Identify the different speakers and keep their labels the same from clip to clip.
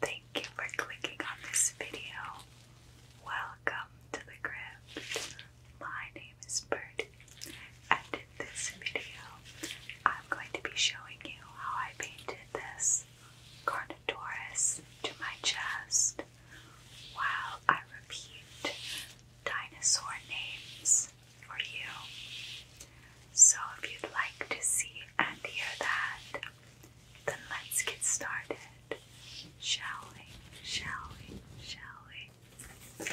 Speaker 1: Thank you for clicking on this video. Welcome to the crypt. My name is Birdie, and in this video, I'm going to be showing you how I painted this Carnotaurus to my chest while I repeat dinosaur names for you. So, if you'd like to see and hear that, then let's get started, shall we? Shall we? Shall we?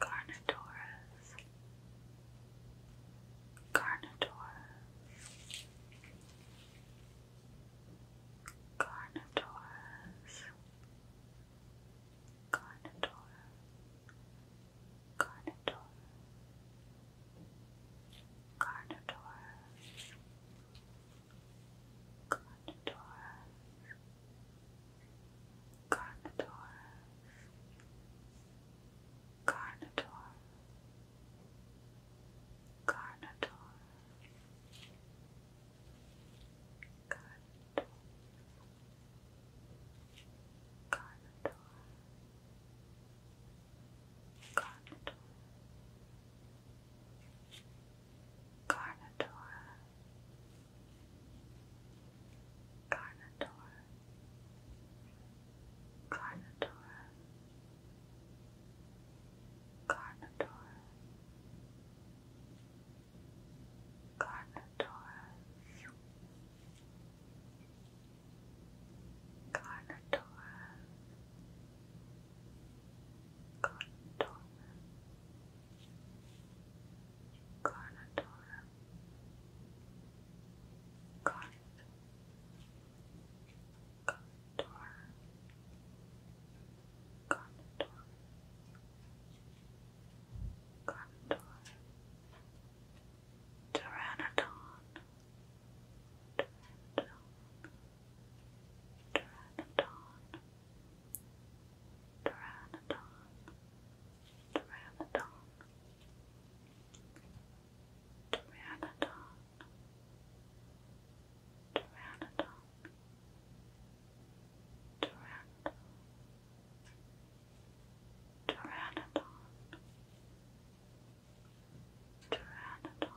Speaker 1: Garnadores Garnador, Garnadorus, Garnador, Garnador, Garnadorus, Garnadorus, Garnadorus, Carnotaur, Carnotaur, Carnotaur, Carnotaur, Carnotaur, Carnotaur, Carnotaur, Carnotaur, Carnotaur, Carnotaur, Carnotaur, Carnotaur, Carnotaur, Contour. Contour. Contour. Pteranodon. Pteranodon. Pteranodon. Pteranodon. Pteranodon. Pteranodon Pteranodon Pteranodon Pteranodon Pteranodon Pteranodon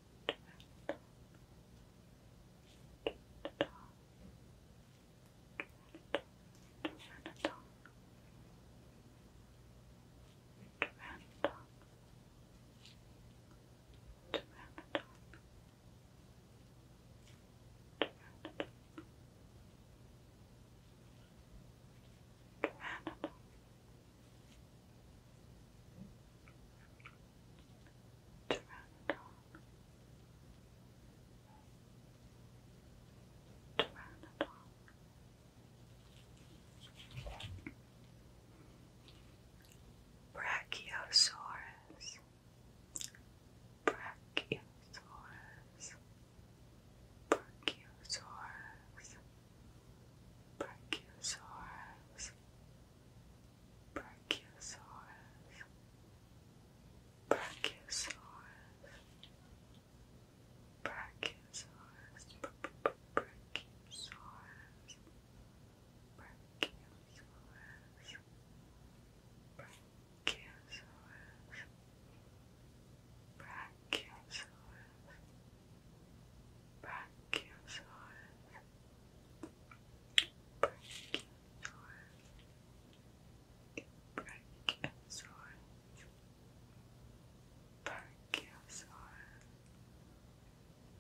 Speaker 1: Tyrannodon Pteranodon Pteranodon Brachiosaurus Brachiosaurus Brachiosaurus Brachiosaurus Brachiosaurus, Brachiosaurus, Brachiosaurus, Brachiosaurus, Brachiosaurus, Brachiosaurus, Brachiosaurus. Brachiosaurus. Brachiosaurus. Brachiosaurus. Brachiosaurus.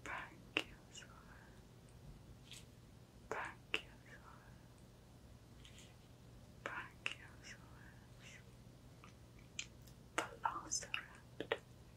Speaker 1: Brachiosaurus. Brachiosaurus. Brachiosaurus. Velociraptor. Velociraptor.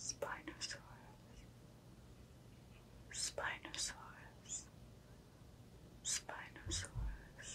Speaker 1: Spinosaurus, Spinosaurus, Spinosaurus,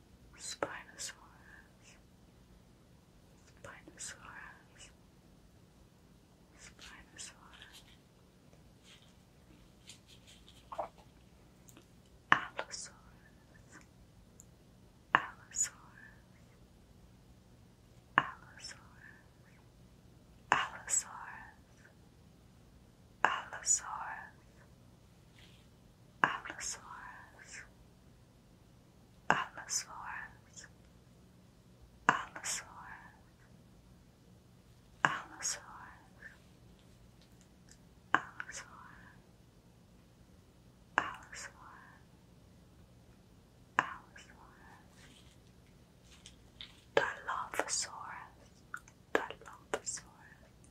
Speaker 1: Spinosaurus, Spinosaurus, Spinosaurus, Allosaurus, Allosaurus, Allosaurus, Allosaurus, Allosaurus, Allosaurus, Allosaurus, Allosaurus, Allosaurus, Allosaurus, Allosaurus, Dilophosaurus, Dilophosaurus.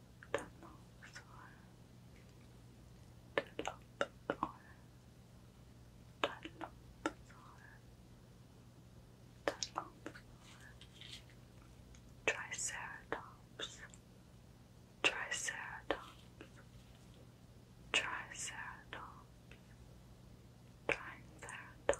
Speaker 1: the triceratops triceratops triceratops triceratops triceratops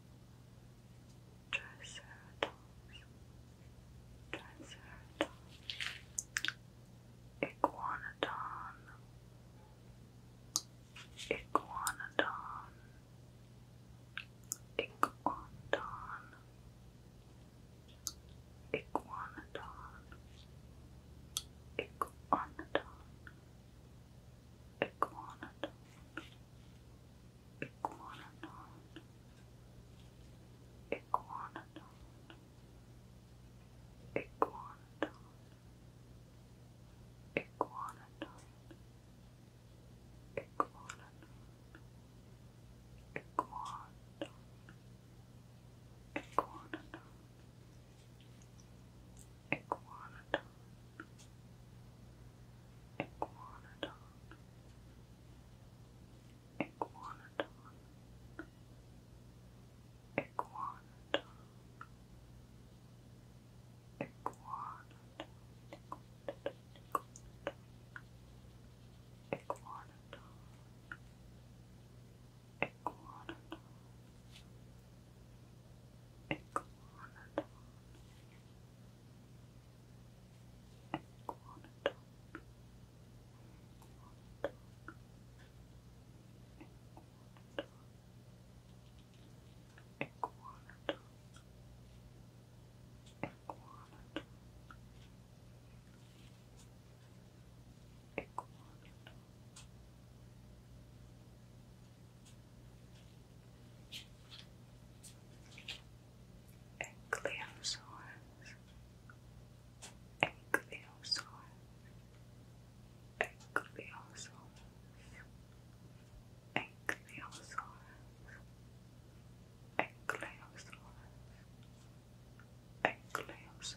Speaker 1: Triceratops, Triceratops, Iguanodon, Iguanodon, Iguanodon, Iguanodon, Iguanodon, Iguanodon. Iguanodon. Iguanodon. Iguanodon. Iguanodon. Iguanodon. Iguanodon. Iguanodon. Iguanodon. Iguanodon. Iguanodon. Iguanodon. Iguanodon. Iguanodon. Iguanodon. Iguanodon. Iguanodon. Equanatop. Equanatop. Ankylosaurus, Ankylosaurus, Ankylosaurus, Ankylosaurus, Ankylosaurus, Ankylosaurus, Ankylosaurus,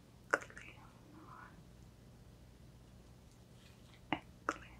Speaker 1: a clean one. A Eclipse eclipse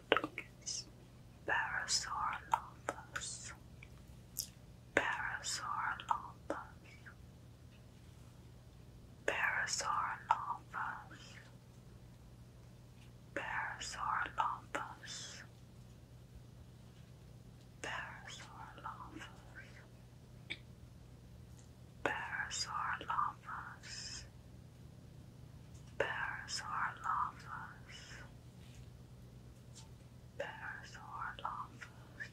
Speaker 1: Parasaurolophus. Parasaurolophus. lovers. Parasaurolophus. Parasaurolophus. Parasaurolophus. Parasaurolophus. Bears are lovers. Bears are lovers.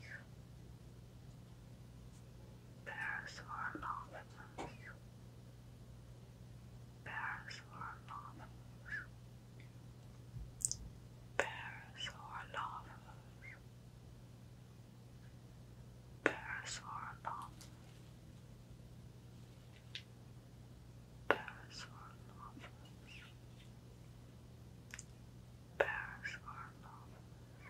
Speaker 1: Bears are lovers. Bears are lovers. Bears are lovers. Bears are lovers. Paris for lovers. Paris for lovers.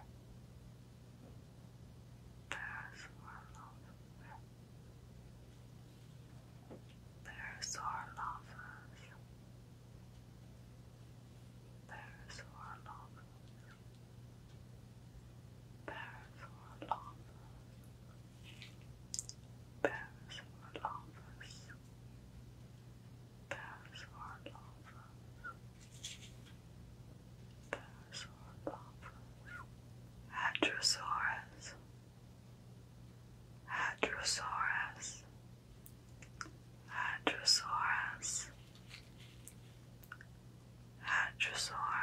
Speaker 1: Paris for lovers. Paris for lovers. Paris for lovers. Paris for lovers. Paris for lovers. Paris World Office. Paris World Office. Paris World Office. Hadrosaurus. Hadrosaurus. Hadrosaurus. Hadrosaurus. Hadrosaurus.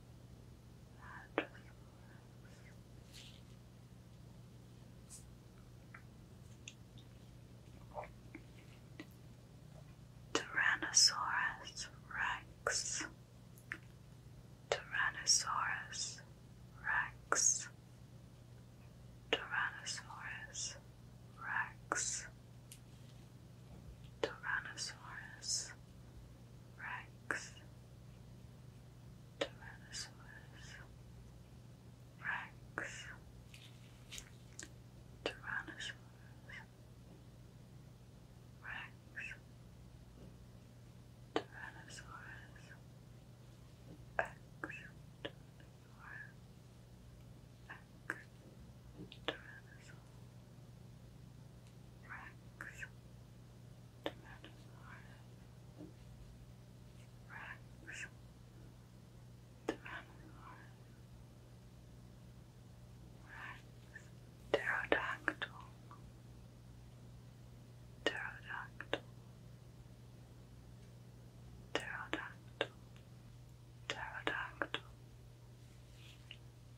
Speaker 1: Tyrannosaurus rex. Tyrannosaurus rex. Tyrannosaurus rex. Tyrannosaurus Rex Tyrannosaurus Rex Tyrannosaurus Rex Tyrannosaurus X Tyrannosaurus X Tyrannosaurus Rex, Tyrannosaurus, Rex, Tyrannosaurus, Rex, Pterodactyl, Pterodactyl, Pterodactyl. Pterodactyl,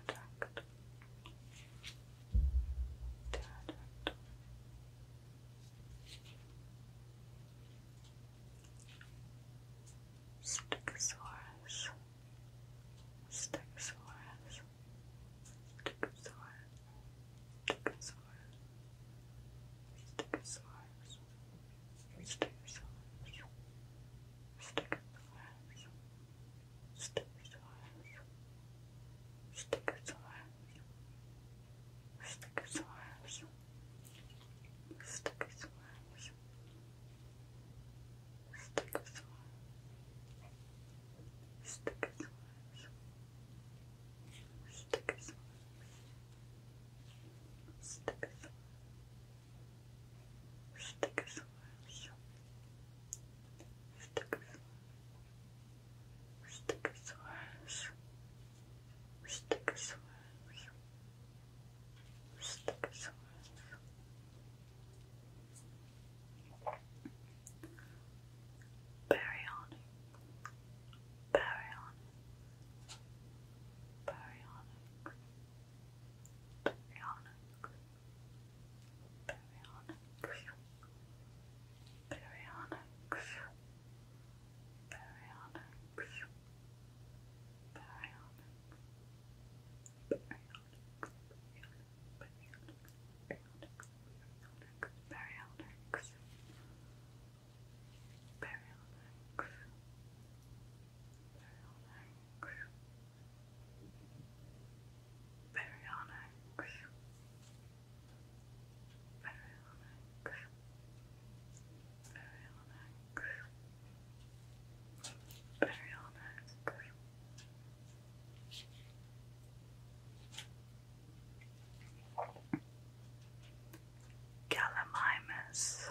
Speaker 1: Attacked. Attacked. Stegosaurus. Stegosaurus. Stegosaurus. Stegosaurus. Stegosaurus. Stegosaurus. Stegosaurus. Stegosaurus, Stegosaurus, Stegosaurus, Stegosaurus, Stegosaurus, Stegosaurus, Stegosaurus, Stegosaurus, Stegosaurus, Stickers, Stegosaurus. Stegosaurus. Stegosaurus. Stegosaurus. Baryony. Baryony. Baryonic. Baryonic baryonyx, baryonyx, baryonyx, baryonyx, baryonyx, baryonyx, baryonyx, baryonyx, baryonyx, baryonyx, baryonyx, baryonyx, baryonyx, baryonyx, baryonyx, baryonyx, baryonyx, baryonyx, Baryonyx. Baryonyx. Baryonyx. Baryonyx. Gallimimus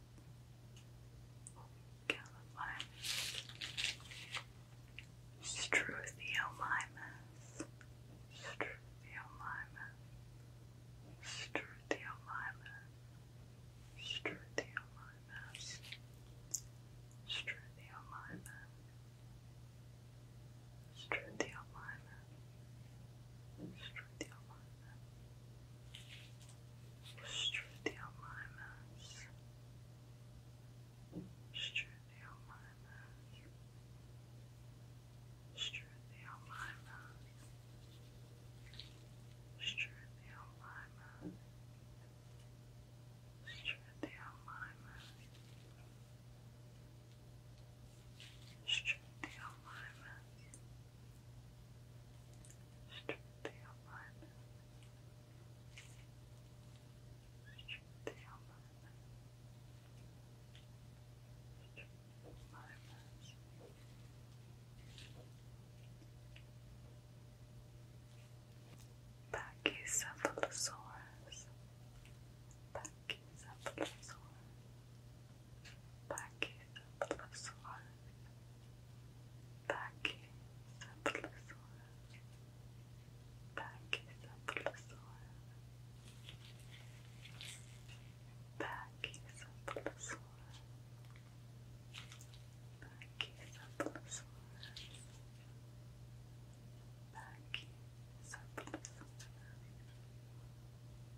Speaker 1: Calyphime, Struthiomimus, Struthiomimus, Struthiomimus, Struthiomimus, Struthiomimus, Struthiomimus, Struthiomimus, Struthiomimus, Straight down my mass. Straight down my mass. Straight down my mass. Straight down my mass. Straight down my mass. Straight down my mass. Straight down my mass. Straight down my nose. Pachycephalosaurus. Pachycephalosaurus. Pachycephalosaurus simplest one. Taki simplest one. Taki simplest one. Taki simplest one. Taki simplest one. Taki simplest one.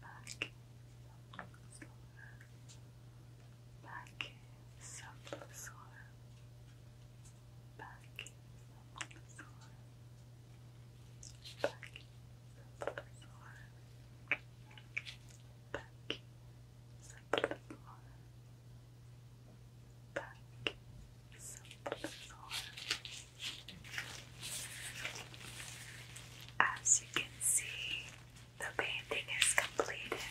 Speaker 1: Taki simplest one back some soil, back some soil, back some soil, back some soil, back some soil. As you can see, the painting is completed.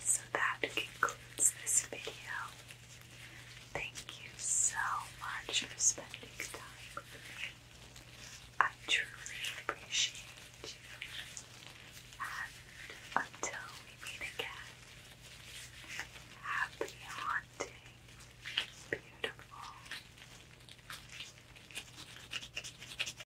Speaker 1: So that concludes this video. Thank you so much for spending time with me. I truly appreciate you. And until we meet again, happy haunting, beautiful.